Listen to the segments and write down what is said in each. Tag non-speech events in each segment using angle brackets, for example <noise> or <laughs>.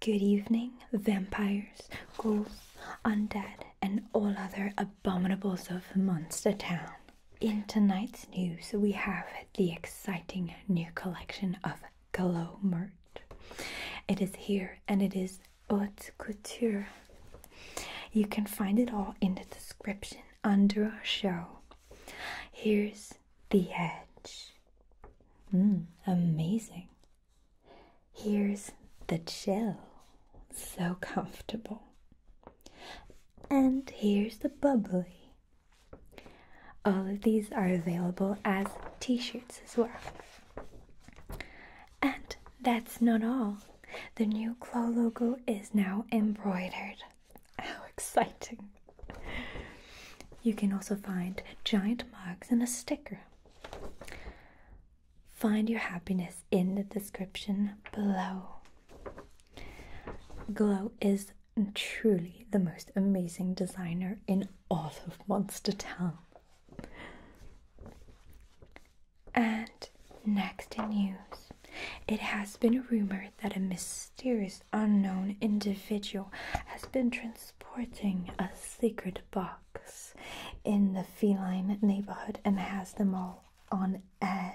Good evening, vampires, ghouls, undead, and all other abominables of Monster Town. In tonight's news, we have the exciting new collection of Glow merch. It is here and it is haute couture. You can find it all in the description under our show. Here's the edge. Mm, amazing. Here's the chill, so comfortable. And here's the bubbly. All of these are available as t shirts as well. And that's not all. The new claw logo is now embroidered. How exciting! You can also find giant mugs and a sticker. Find your happiness in the description below. Glow is truly the most amazing designer in all of Monster Town. And next in news, it has been rumored that a mysterious unknown individual has been transferred transporting a secret box in the feline neighborhood and has them all on edge.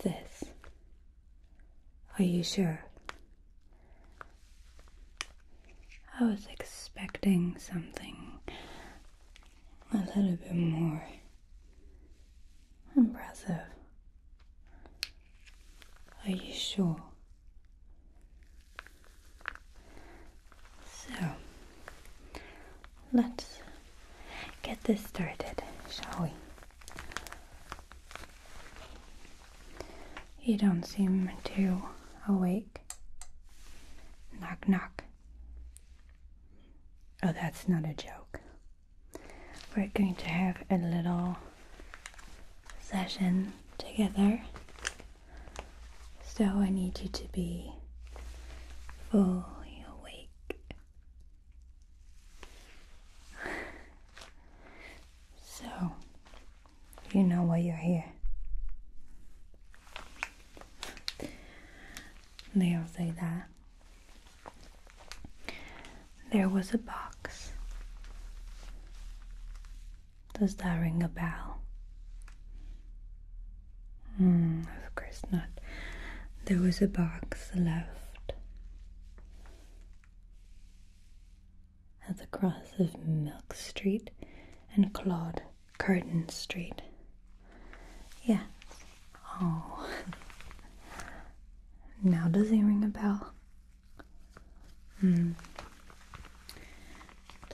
This. Are you sure? I was expecting something a little bit more Impressive. Are you sure? So, let's get this started, shall we? You don't seem too awake. Knock, knock. Oh, that's not a joke. We're going to have a little session together. So I need you to be fully awake. so you know why you're here. They'll say that there was a box. Does that ring a bell? Hmm, of course not. There was a box left at the cross of Milk Street and Claude Curtin Street. Yes, Oh. now does he ring a bell? It hmm.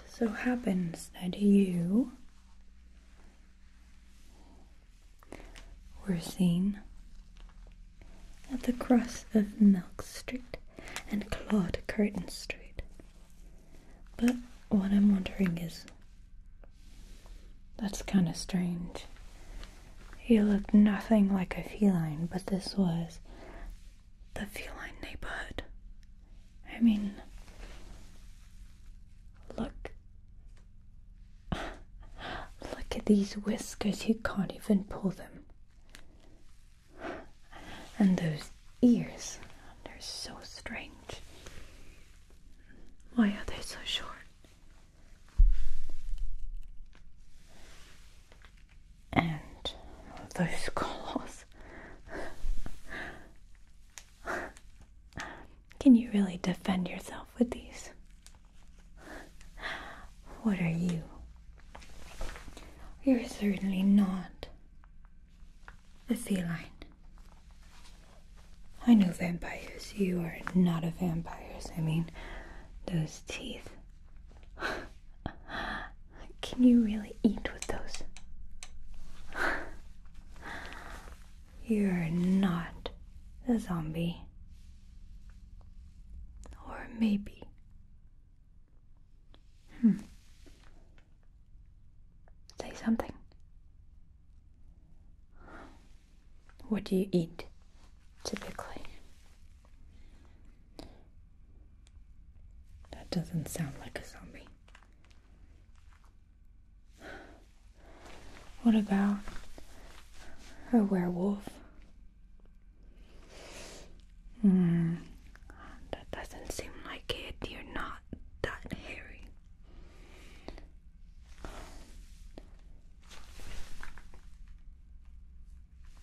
so happens that you were seen at the cross of Milk Street and Claude Curtain Street. But what I'm wondering is that's kind of strange. He looked nothing like a feline, but this was the feline neighborhood. I mean, look. <laughs> look at these whiskers, you can't even pull them. And those ears, they're so strange. Why are they so short? and those claws Can you really defend yourself with these? What are you? You're certainly not a feline. I know vampires. You are not a vampire. I mean, those teeth. <laughs> Can you really eat with those? <sighs> You're not a zombie. Or maybe. Hmm. Say something. What do you eat typically? That doesn't sound like a zombie. What about a werewolf? Hmm, that doesn't seem like it. You're not that hairy.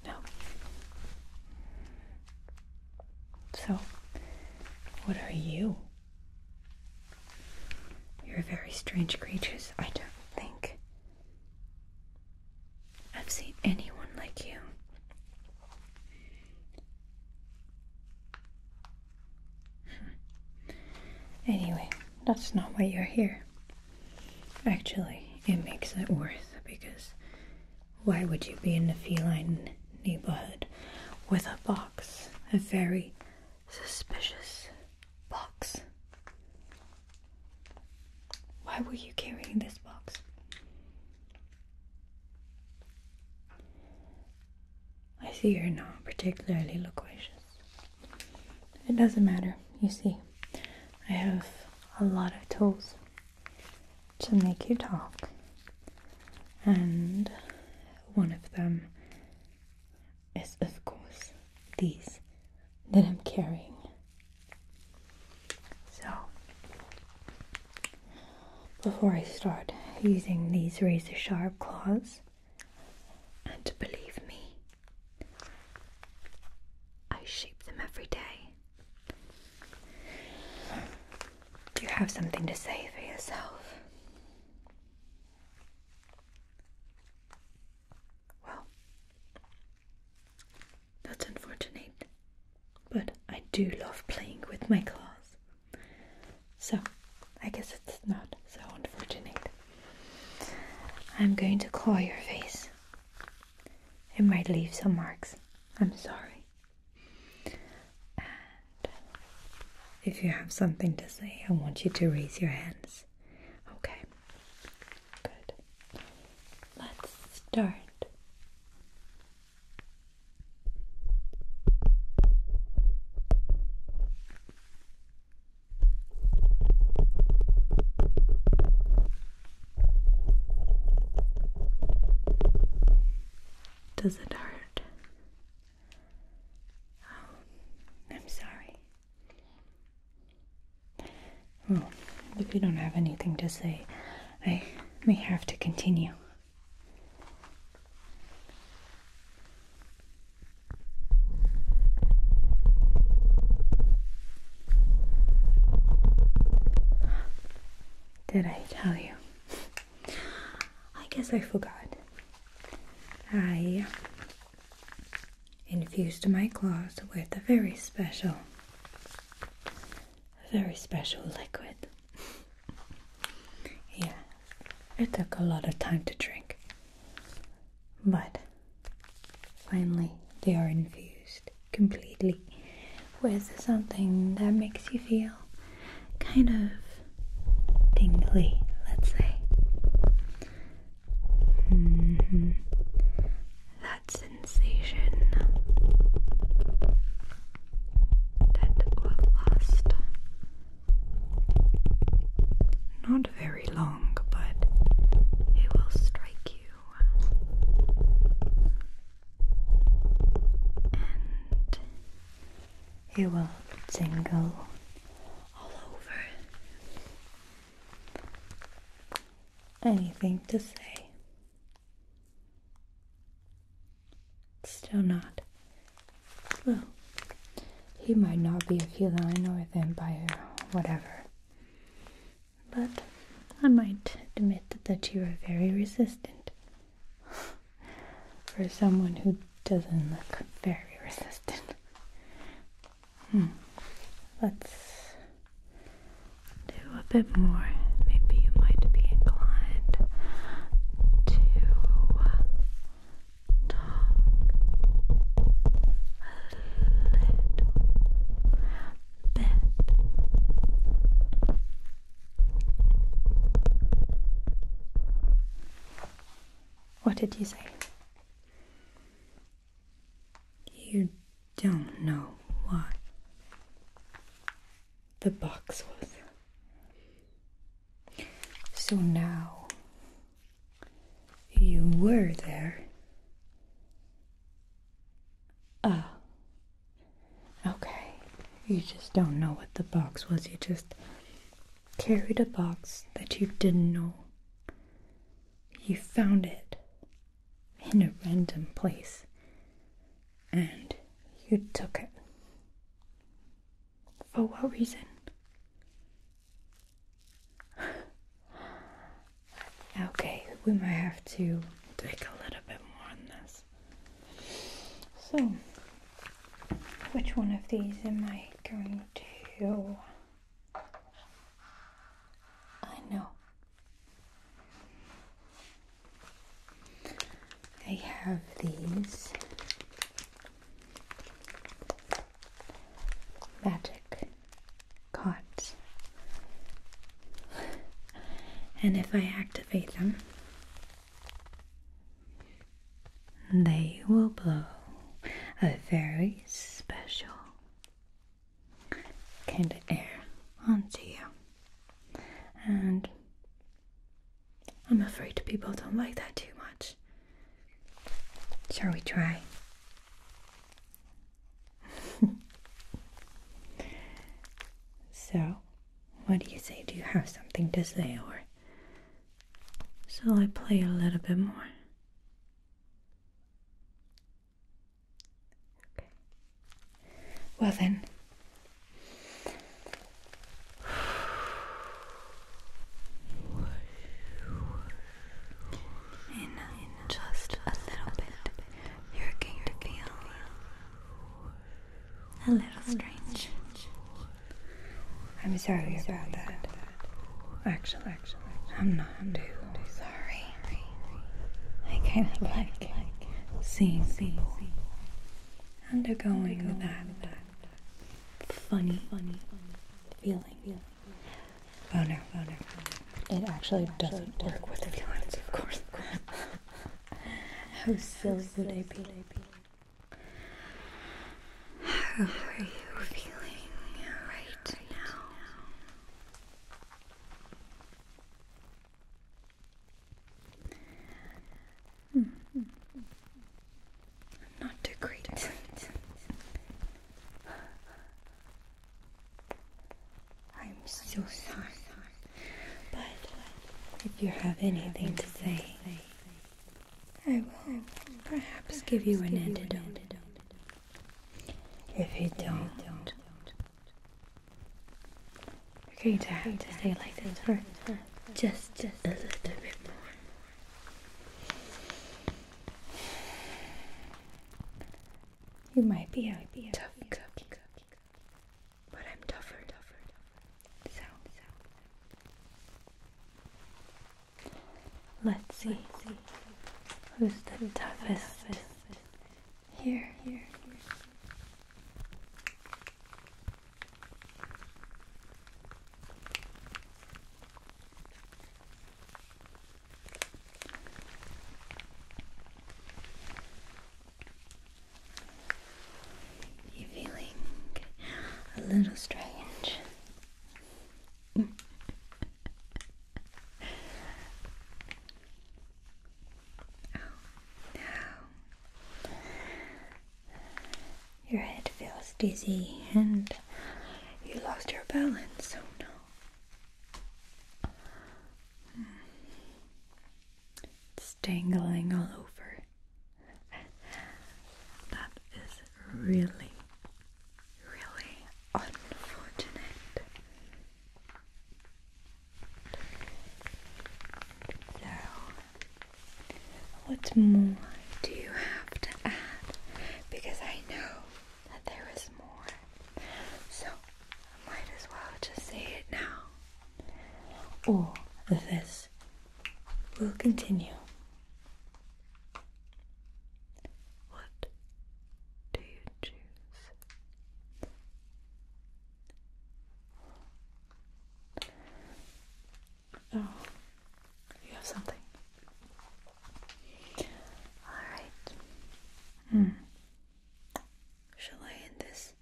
No. So, what are you? You're very strange creatures. I don't think I've seen anyone like you. Anyway, that's not why you're here. Actually, it makes it worse because why would you be in the feline neighborhood with a box? A very suspicious box. Why were you carrying this box? I see you're not particularly loquacious. It doesn't matter, you see. I have a lot of tools to make you talk, and one of them is, of course, these that I'm carrying. So, before I start using these razor sharp claws, and believe me, I shape them every day. Do you have something to say for yourself? Well, that's unfortunate, but I do love playing with my claws. So, I guess it's not so unfortunate. I'm going to claw your face. It might leave some marks. I'm sorry. if you have something to say, I want you to raise your hands. Okay. Good. Let's start. Does it hurt? Oh, I'm sorry. if you don't have anything to say, I may have to continue. Did I tell you? I guess I forgot. I infused my claws with a very special, very special liquid. <laughs> yeah, it took a lot of time to drink, but finally they are infused completely with something that makes you feel kind of tingly, let's say. Mm-hmm. That sensation that will last not very long, but it will strike you. And it will jingle all over. Anything to say? still not well, he might not be a feline or a vampire, whatever. But I might admit that you are very resistant. For someone who doesn't look very resistant. Hmm. Let's do a bit more. Maybe you might be inclined to a little bit. What did you say? You don't know what the box was. So now you were there. Ah. Okay. You just don't know what the box was. You just carried a box that you didn't know. You found it in a random place and you took it. For what reason? <sighs> okay, we might have to take a little bit more on this. So, which one of these am I going to? I know. I have these magic caught. and if I activate them, they will blow a very special kind of air onto you. And I'm afraid people don't like that too much. Shall we try? <laughs> so, what do you say? Do you have something to say, or shall I play a little bit more? Okay. Well, then, in just a little bit, you're going to feel a little strange. I'm sorry about that. Actually, actually, I'm not too sorry. I kind of like seeing people undergoing that funny, funny feeling. Oh no, oh no. It actually doesn't work with the feelings, of course. How silly would I be? How are you feeling right now? Not too great. I'm so sorry. But if you have anything to say, I will perhaps give you an antidote. If you don't, you're going to have to stay like this just, just a little bit more. You might be a be tough a cookie, cookie, but I'm tougher, tougher, tougher. So, so. let's see who's the toughest. Here, here. You're feeling a little strange. <laughs> Oh, no. Your head feels dizzy and you lost your balance. Oh no. Hmm. It's dangling all over. that is really, really unfortunate. So, what more do you have to add? Because I know that there is more. So I might as well just say it now. All of this will continue. What do you choose? Oh, you have something. Alright. Hmm. Shall I end this?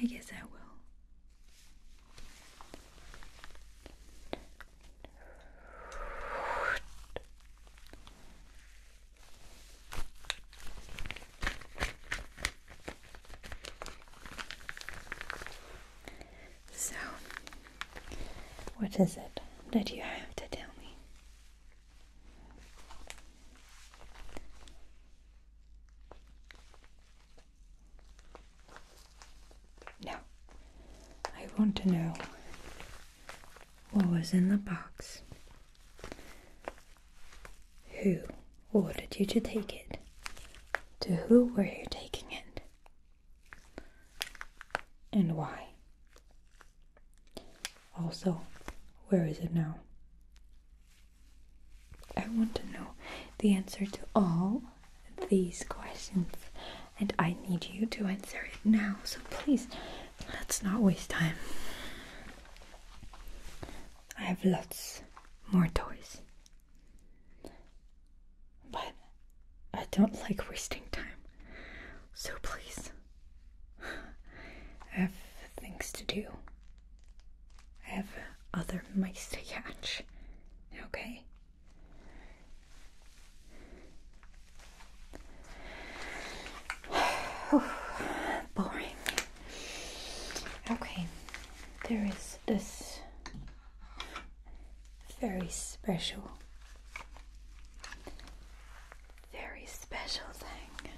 I guess I will. So, what is it that you have to tell me? No, I want to know what was in the box. Who ordered you to take it? To who were you taking it? and why. Also, where is it now? I want to know the answer to all these questions, and I need you to answer it now. So please, let's not waste time. I have lots more toys. But I don't like wasting time. So please, I have things to do. I have other mice to catch. Okay? <sighs> Boring. Okay, there is this very special. Very special thing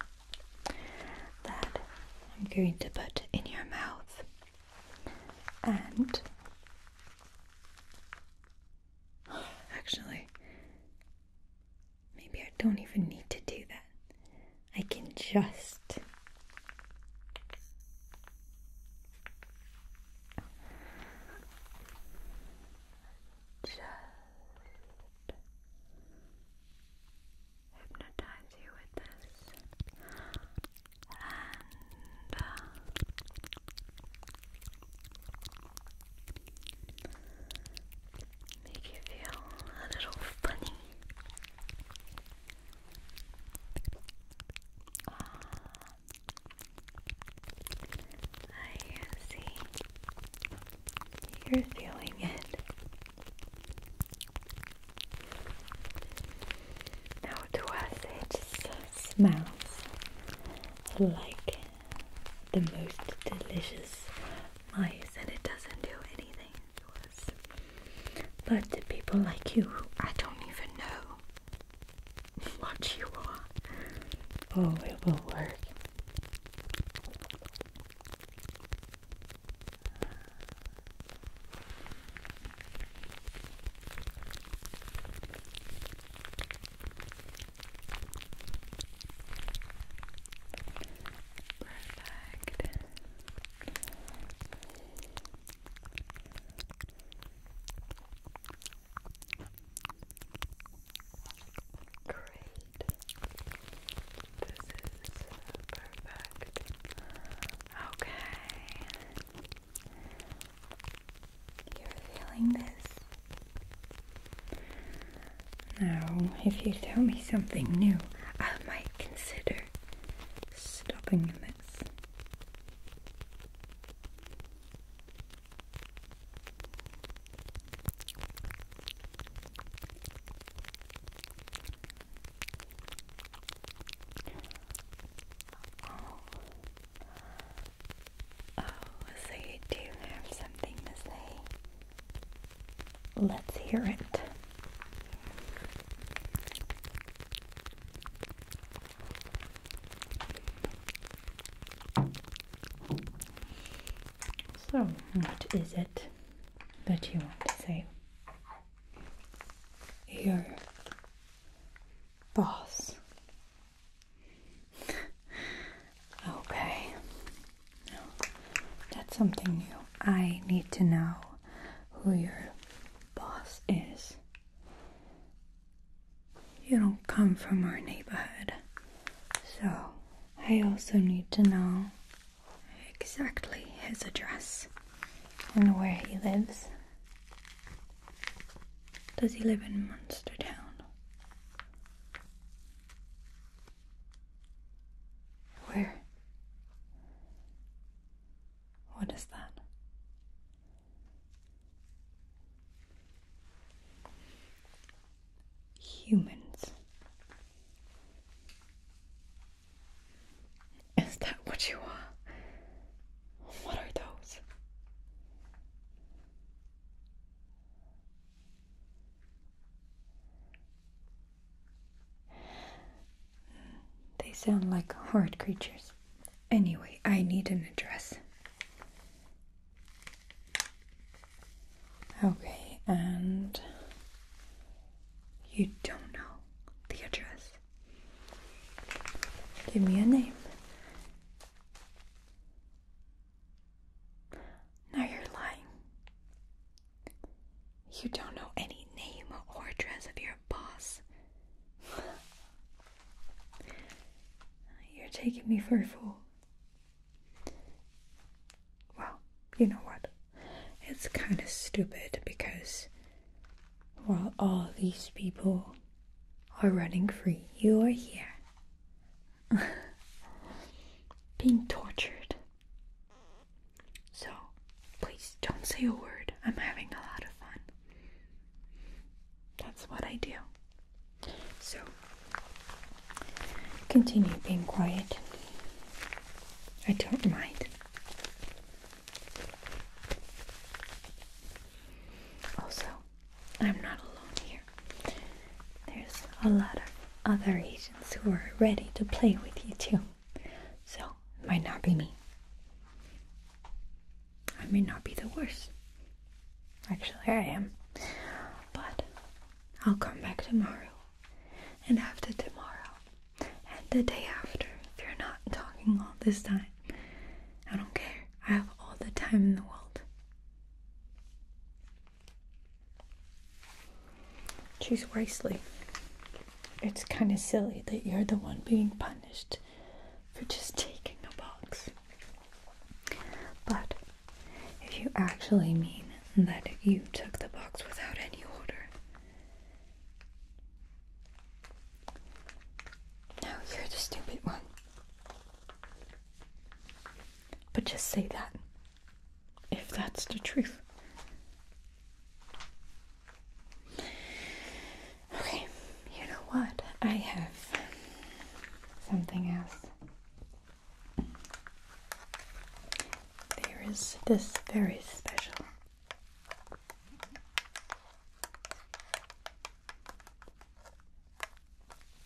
that I'm going to put in your mouth. And <gasps> actually, maybe I don't even need to do that. I can just just hypnotize you with this and uh, make you feel a little funny. I see. You're feeling it. Now to us it smells like the most delicious mice and it doesn't do anything to us. But the people like you, who I don't even know <laughs> what you are. Oh, it will work. Perfect. Great. This is perfect. Okay. You're feeling this. Now, if you tell me something new, I might consider stopping this. Oh. oh, do have something to say. Let's hear it. So, what is it that you want to say? Your boss. <laughs> okay. that's something new. I need to know who your boss is. You don't come from our neighborhood, so I also need to know exactly his address and where he lives. Does he live in Monster Town? Where? What is that? Humans. Is that what you are? What are those? They sound like horrid creatures. Anyway, I need an address. Okay, and you don't know the address. Give me a name. Now you're lying. You don't know any name or address of your boss. You're taking me for a fool. Well, you know what? It's kind of stupid because while all these people are running free, you're here. <laughs> Being tortured. So, Please don't say a word. I'm having a lot of fun. That's what I do. So, continue being quiet. I don't mind. Also, I'm not alone here. There's a lot of other agents who are ready to play with you, too. So, it might not be me. I may not be the worst. Actually, I am. But I'll come back tomorrow, and after tomorrow, and the day after, if you're not talking all this time. I don't care. I have all the time in the world. She's wasteless it's kind of silly that you're the one being punished for just <laughs> taking a box. But if you actually mean that you took the box without any order, now you're the stupid one. But just say that if that's the truth. Okay, you know what? I have something else. There is this very special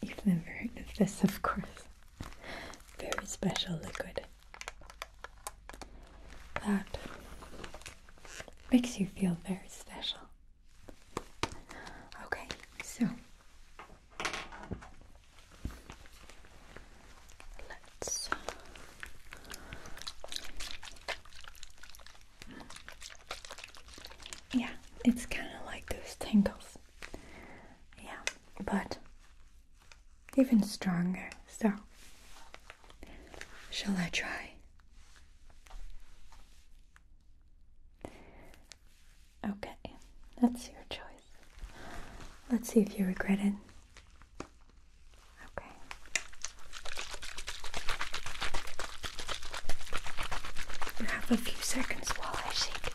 you this, of course. Very special liquid that makes you feel very special. Okay, so let's. Yeah, it's kind of like those tingles. Yeah, but even stronger. So, shall I try? Okay, that's your choice. Let's see if you regret it. Okay. You have a few seconds while I shake it.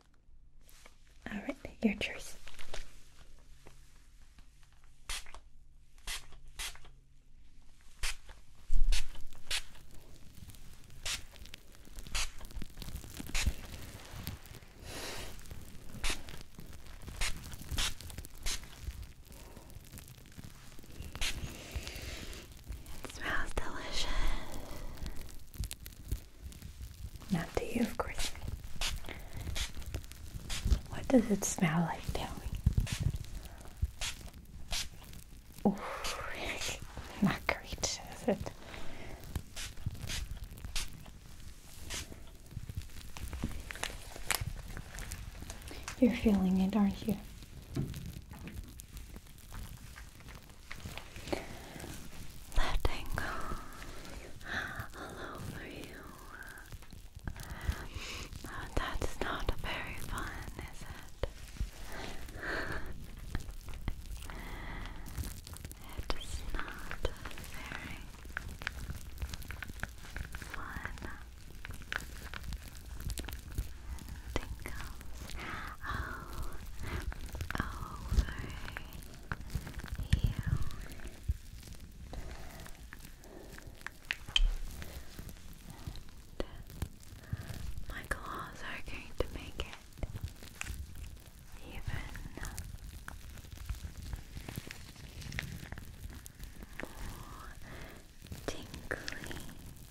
All right, your choice. It smells delicious. Not to you, of course. What does it smell like? Tell me. <laughs> not great, is it? You're feeling it, aren't you? Letting go all over you. Oh, that's not very fun, is it? it is not very fun. Tingles all over you. my claws are going to make it even more tingly.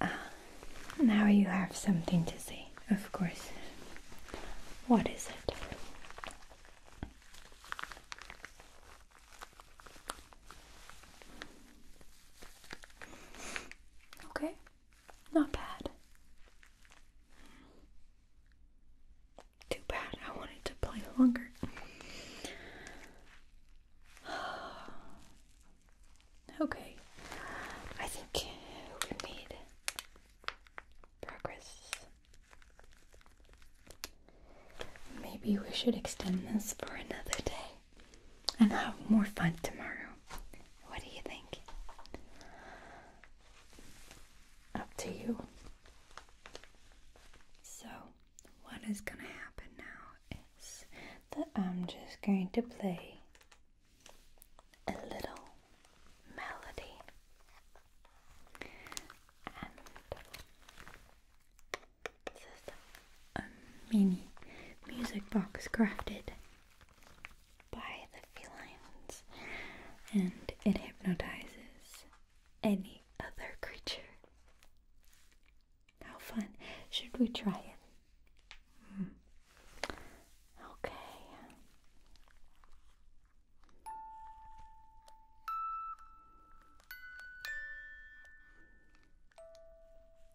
Ah, now you have something to say, of course. What is it? Okay. Not bad. Too bad I wanted to play longer. <sighs> okay, I think we made progress. Maybe we should extend this for another day and have more fun tomorrow. What do you think? Up to you. So, what is gonna happen now is that I'm just going to play a little melody a mini music box crafted by the felines, and it hypnotizes any other creature. How fun! Should we try it? Hmm. Okay.